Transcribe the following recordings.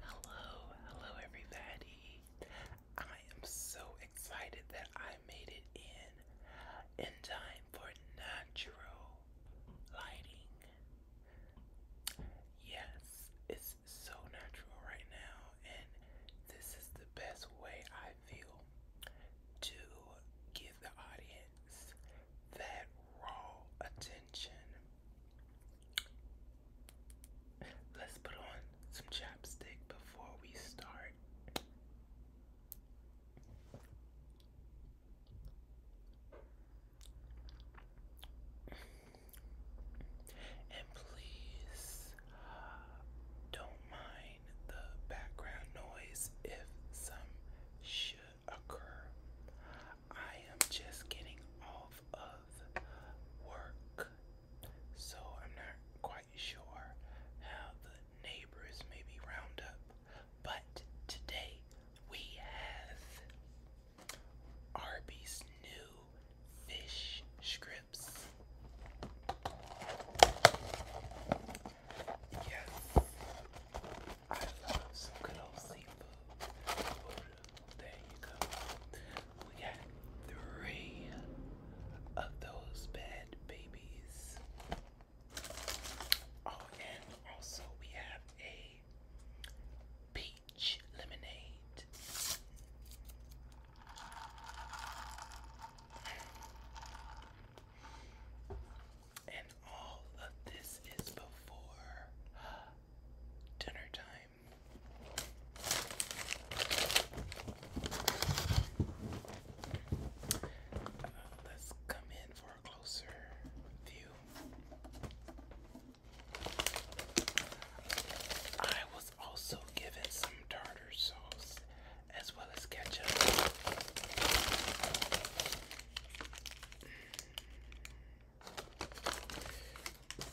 Hello, hello everybody. I am so excited that I made it in in time for natural lighting. Yes, it's so natural right now and this is the best way I feel to give the audience that raw attention Let's put on some chapstick before we start. And please uh, don't mind the background noise if some should occur. I am just getting off of work, so I'm not quite sure how the neighbors may be round up. But today we have Arby's new fish strips. Yes, I love some good old seafood. There you go. We got three of those bad babies. Oh, and also we have a peach lemonade. And all of this is before dinner time. Uh, let's come in for a closer view. I was also given some tartar sauce as well as ketchup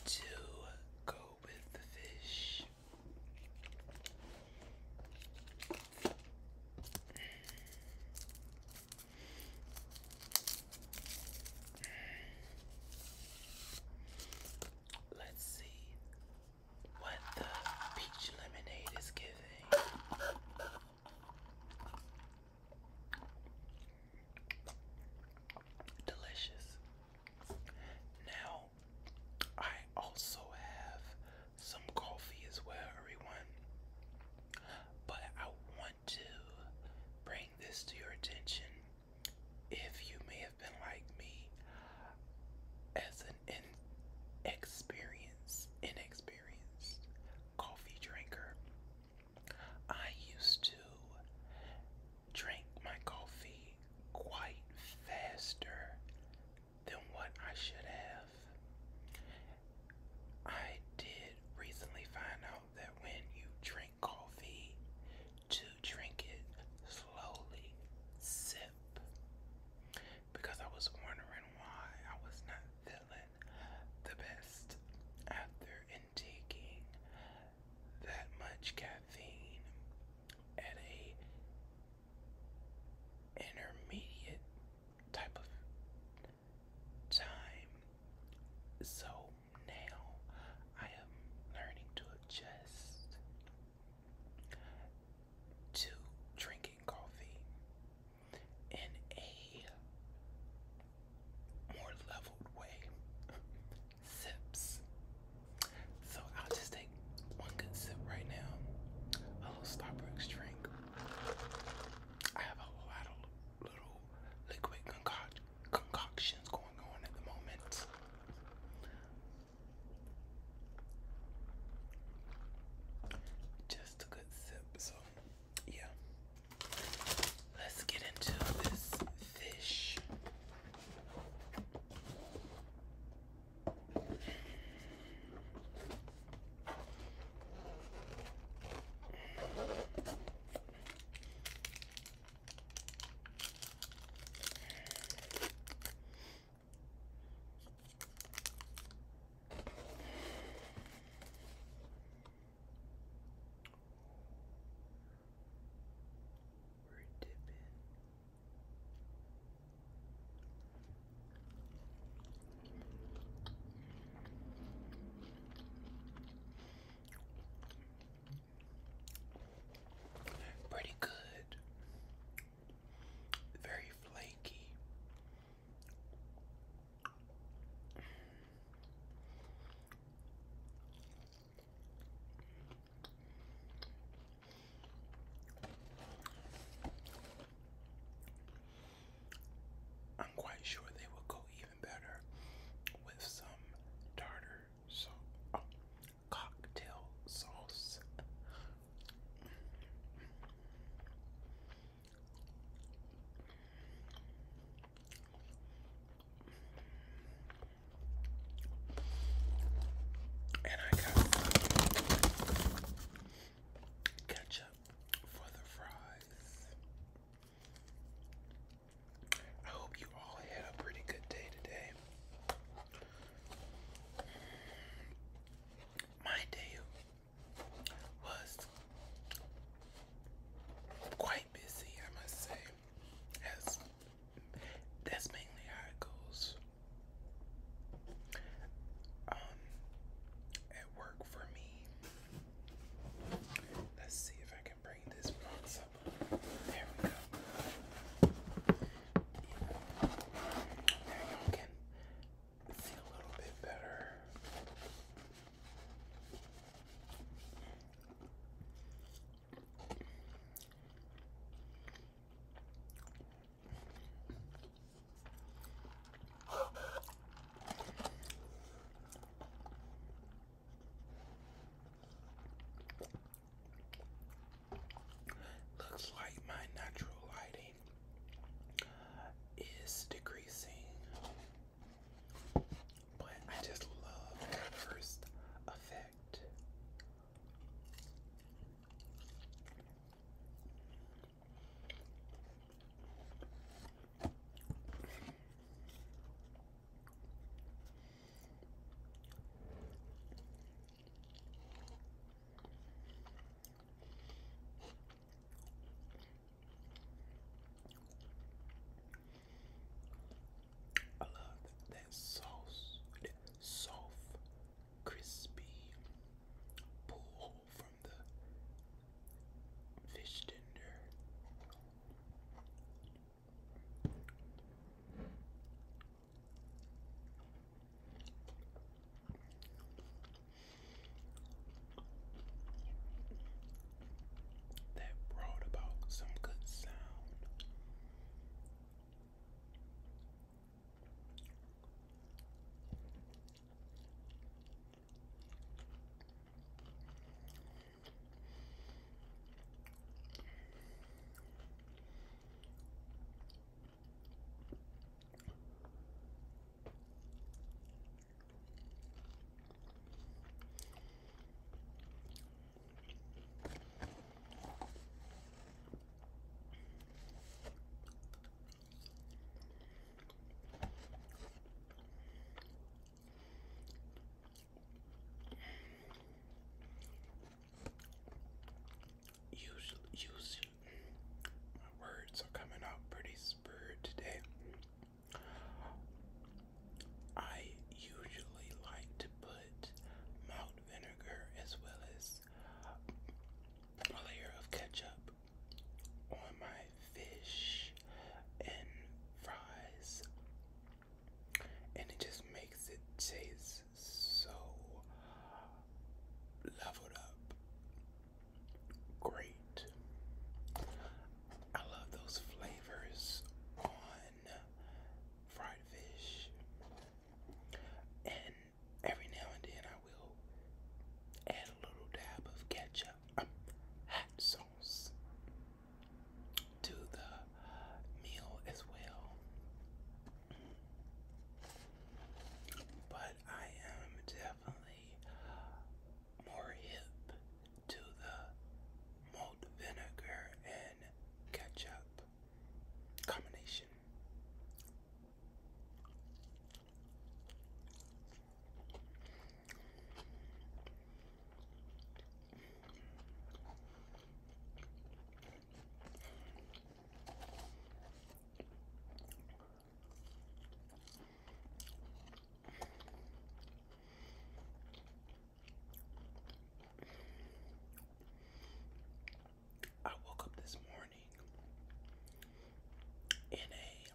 to go with the fish. Let's see what the peach lemonade is giving. Delicious. Now, I also have some coffee as well, everyone. But I want to bring this to your attention. If you may have been like me, as an inexperienced, inexperienced coffee drinker, I used to drink my coffee quite faster than what I should have. I did recently find out that when you drink coffee, to drink it slowly, sip, because I was wondering why I was not feeling the best after intaking that much caffeine at a intermediate type of time. So now I am learning to adjust to drinking coffee in a more leveled way. Sips. So I'll just take one good sip right now. A little Starbucks drink. I have a lot of little liquid concoctions going on at the moment. Just a good sip, so yeah. Let's get into this fish. We're dipping. Pretty good. Very flaky. I'm quite sure they will go even better with some tartar so oh, cocktail sauce. And I got ketchup for the fries. I hope you all had a pretty good day today. My day was quite busy, I must say. that's mainly how it goes. Um, at work for me. Let's see if I can bring this up. There we go. Yeah. y'all can see a little bit better. Looks like my natural lighting is decreasing. But I just love that first effect. I love that sauce, that soft, crispy pull from the fish tender that brought about some good sound. Usually, my words are coming out pretty spurred today. I usually like to put malt vinegar as well as a layer of ketchup on my fish and fries, and it just makes it taste so leveled up. Great. I love those flavors on fried fish. And every now and then I will add a little dab of ketchup, um, hot sauce to the meal as well. But I am definitely more hip to the malt vinegar and ketchup combination. I woke up this morning in a,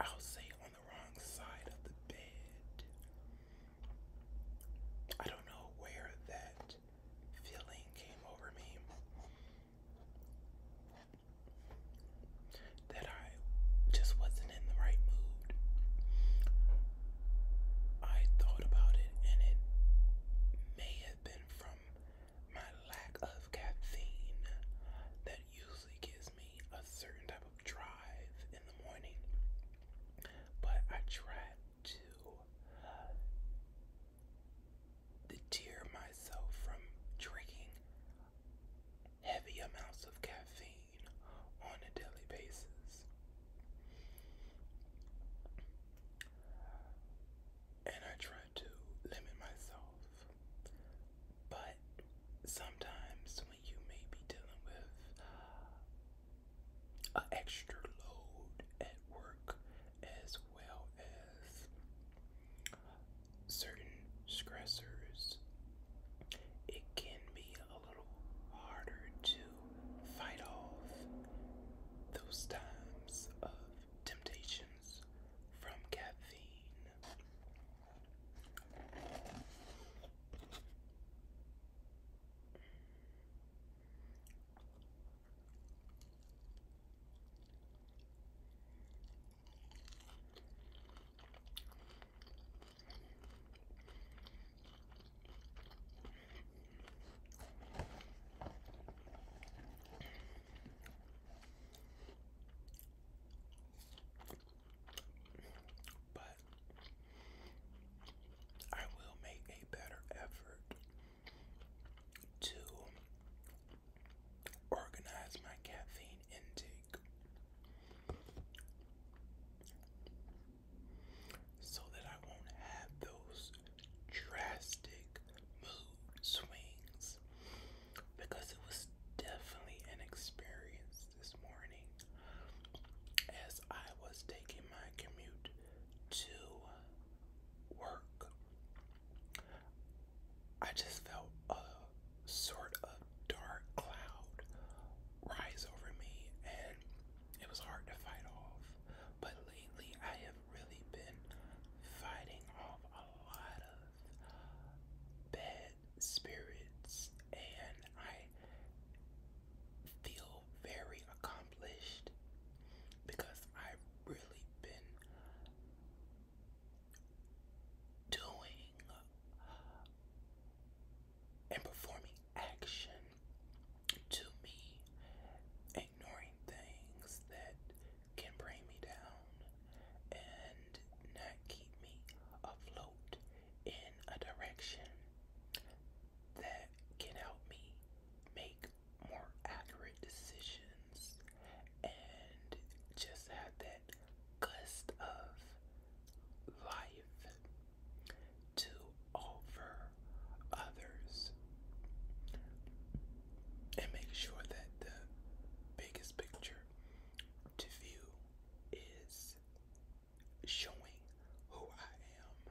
I'll say on the wrong side of the bed. I don't know where that feeling came over me that I just wasn't in the right mood. I thought about it, and it may have been from my lack of caffeine that usually gives me a certain type of drive in the morning. But I tried to tear myself from drinking heavy amounts of caffeine on a daily basis. And I try to limit myself. But sometimes when you may be dealing with an extra load at work as well as certain stressors, it can be a little harder to fight off those times of temptations from caffeine. But I will make a better effort to organize my caffeine intake so that I won't have those drastic mood swings because it was definitely an experience this morning as I was taking my commute to work. I just felt a sort of dark cloud rise over me, and it was hard to fight off. But lately, I have really been fighting off a lot of bad spirits, and I feel very accomplished because I've really been doing and performing action to me, ignoring things that can bring me down and not keep me afloat in a direction that can help me make more accurate decisions and just have that gust of life to offer others and make sure that the biggest picture to view is showing who I am.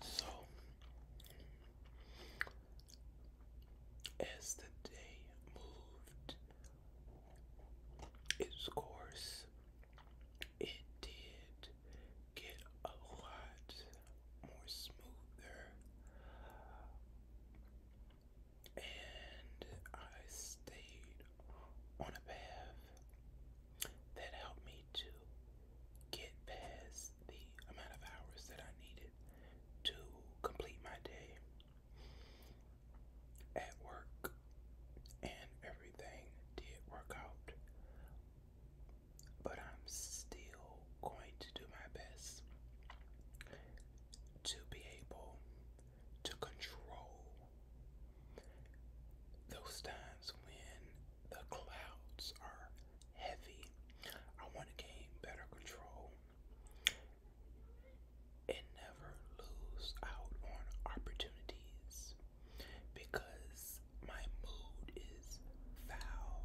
So as the day moved its course, it did get a lot more smoother and I stayed on a path that helped me to get past the amount of hours that I needed to complete my day at work, and everything did work out. But I'm still going to do my best to be able to control those times when the clouds are heavy. I want to gain better control and never lose out on opportunities because my mood is foul.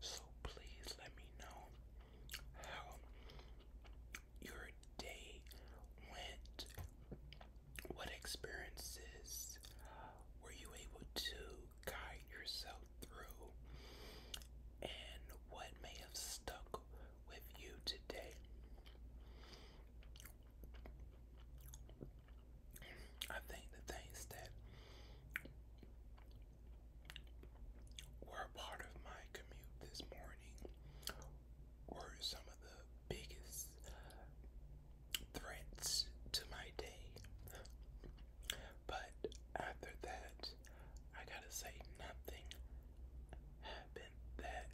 So please let me know how your day went. What experiences were you able to guide yourself through? And what may have stuck with you today? I think the things that were part of my commute this morning were some of the biggest threats to my day. But after that, I gotta say, nothing happened that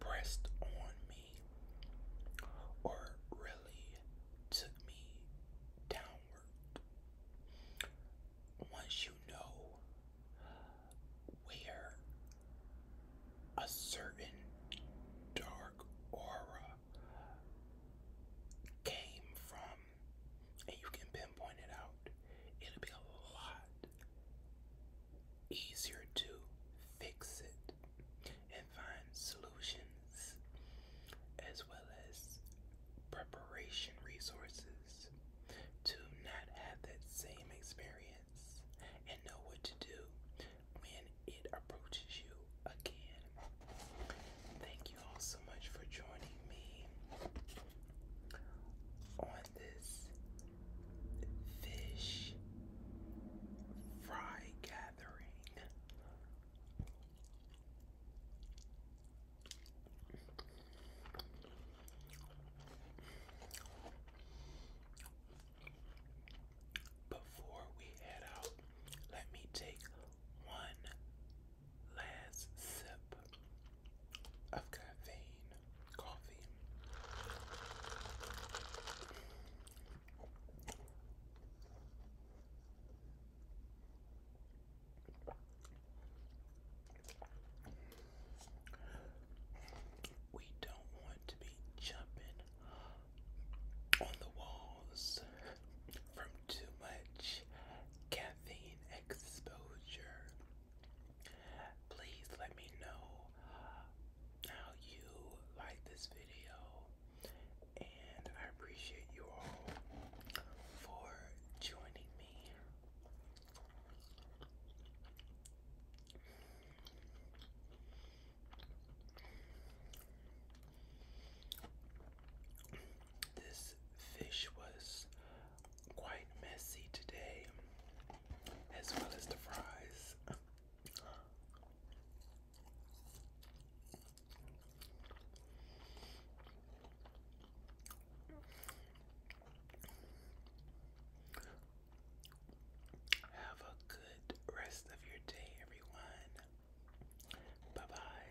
pressed on me or really took me down once you know where a certain dark aura came from, and you can pinpoint it out, it'll be a lot easier to fix it find solutions as well as preparation resources to not have that same experience and know what to do when it approaches you again. Thank you all so much for joining me on this fish fry gathering. Before we head out, let me take one last sip of caffeine coffee. We don't want to be jumping on the walls from too much caffeine exposure. Please let me know how you like this video and I appreciate you all for joining me. This fish was quite messy today, as well as the fries. Have a good rest of your day, everyone. Bye bye.